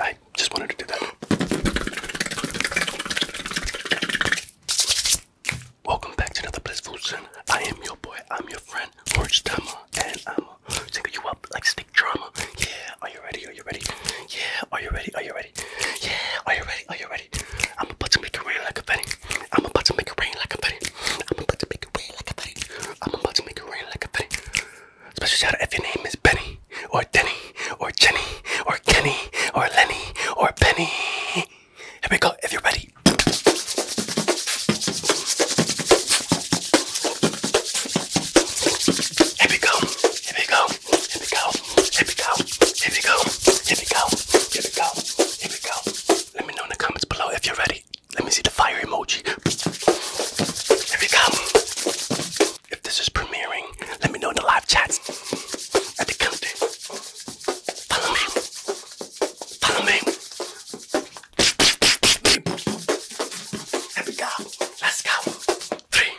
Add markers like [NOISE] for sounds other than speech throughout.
I just wanted to do that. Welcome back to another Blissful Sin. I am your boy, I'm your friend, Orange Tama, and I'm single you up like stick drama. Yeah, are you ready? Are you ready? Yeah, are you ready? Are you ready? Yeah, are you ready? Are you ready? I'm about to make it rain like a petty. I'm about to make it rain like a petty. I'm about to make it rain like a petty. I'm about to make it rain like a petty. Special shout out if your name is Benny or Denny or Jenny or Kenny or Lenny or Penny. Here we go, everybody. Here we go, here we go. Here we go. Here we go. Here we go. Here we go. Here we go. Here we go. Let me know in the comments below if you're ready. Let me see the fire emoji. Here we go. If this is premiering, let me know in the live chats. At the country. Follow me. Follow me. Here we go. Let's go. Three,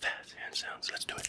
Fast hand sounds, let's do it.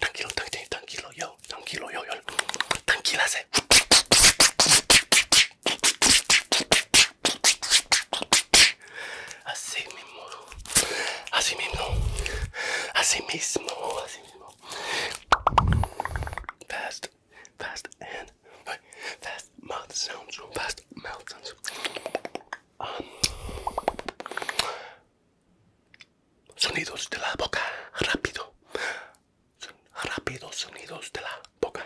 tranquilo, tranquilo, tranquilo, tranquilo yo, tranquilo yo, yo. Tranquilase. Así mismo, así mismo, así mismo, así mismo. Fast, fast and fast mouth sounds, fast mouth sounds. Um, Sonidos de la boca, rápido. Son rápidos sonidos de la boca.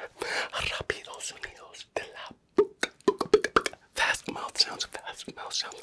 Rápidos sonidos de la boca. boca. Fast mouth sounds, fast mouth sounds.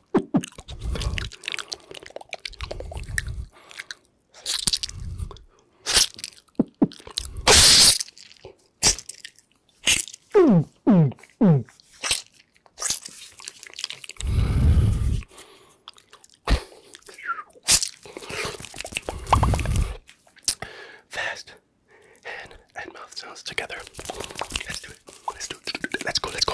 Fast hand and mouth sounds together. Let's do it. Let's do Let's go. Let's go.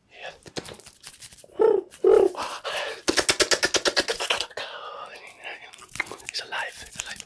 It's alive, it's alive.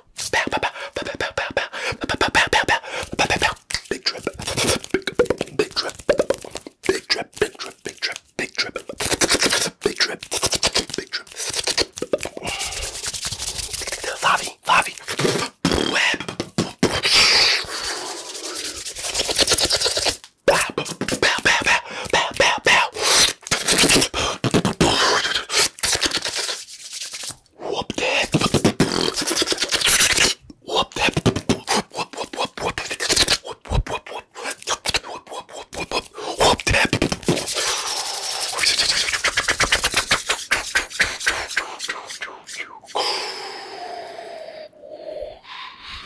Big trip. Big trip. Big trip. Big trip. Big trip. Big trip. Big trip. Big trip. Lavi. Lavi. Bow, bow, bow, bow, bow, bow, bow, Whoop that. Whoop that. Whoop whoop whoop whoop whoop whoop whoop whoop whoop whoop whoop whoop whoop whoop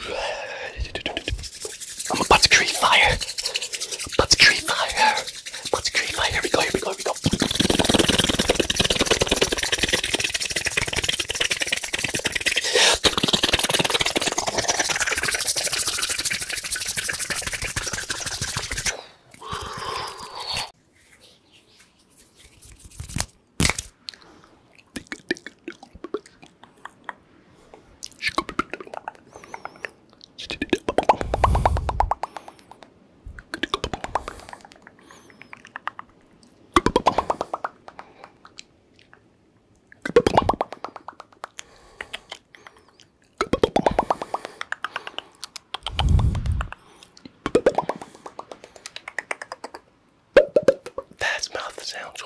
that. I'm about to create fire. I'm about to create fire. Put the green light. Here we go. Here we go. Here we go. That's mouth sounds.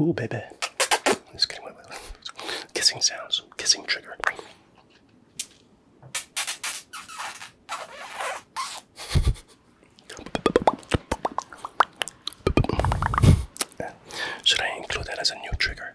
Ooh, baby. Just kidding. Wait, wait, Kissing sounds. Kissing trigger. [LAUGHS] Should I include that as a new trigger?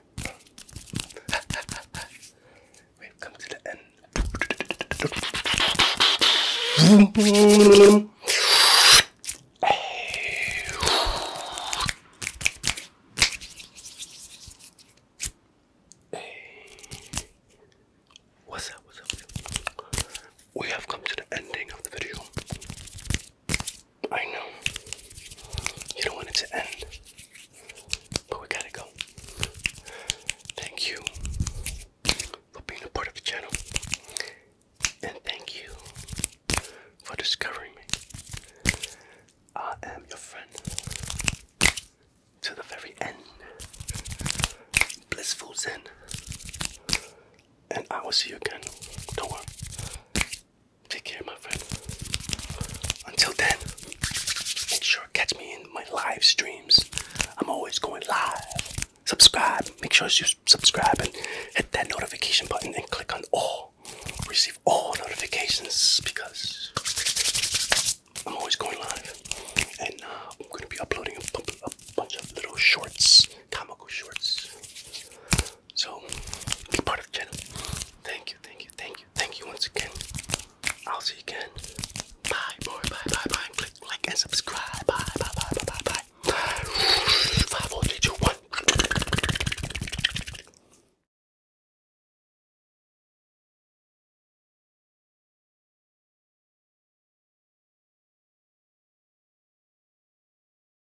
We've come to the end. What's up? We have come to the ending of the video. I know. You don't want it to end. But we gotta go. Thank you for being a part of the channel. And thank you for discovering me. I am your friend. To the very end. Blissful Zen. And I will see you again. Don't worry. Take care, my friend. Until then, make sure to catch me in my live streams. I'm always going live. Subscribe. Make sure you subscribe and hit that notification button and click on all. Receive all notifications because I'm always going live. And uh, I'm going to be uploading a bunch of little shorts comical shorts. So be part of the channel. Thank you, thank you, thank you, thank you once again. I'll see you again. Bye, boy, bye, bye, bye. Click like and subscribe. Bye, bye, bye, bye, bye, bye. Five, four, three, two, one.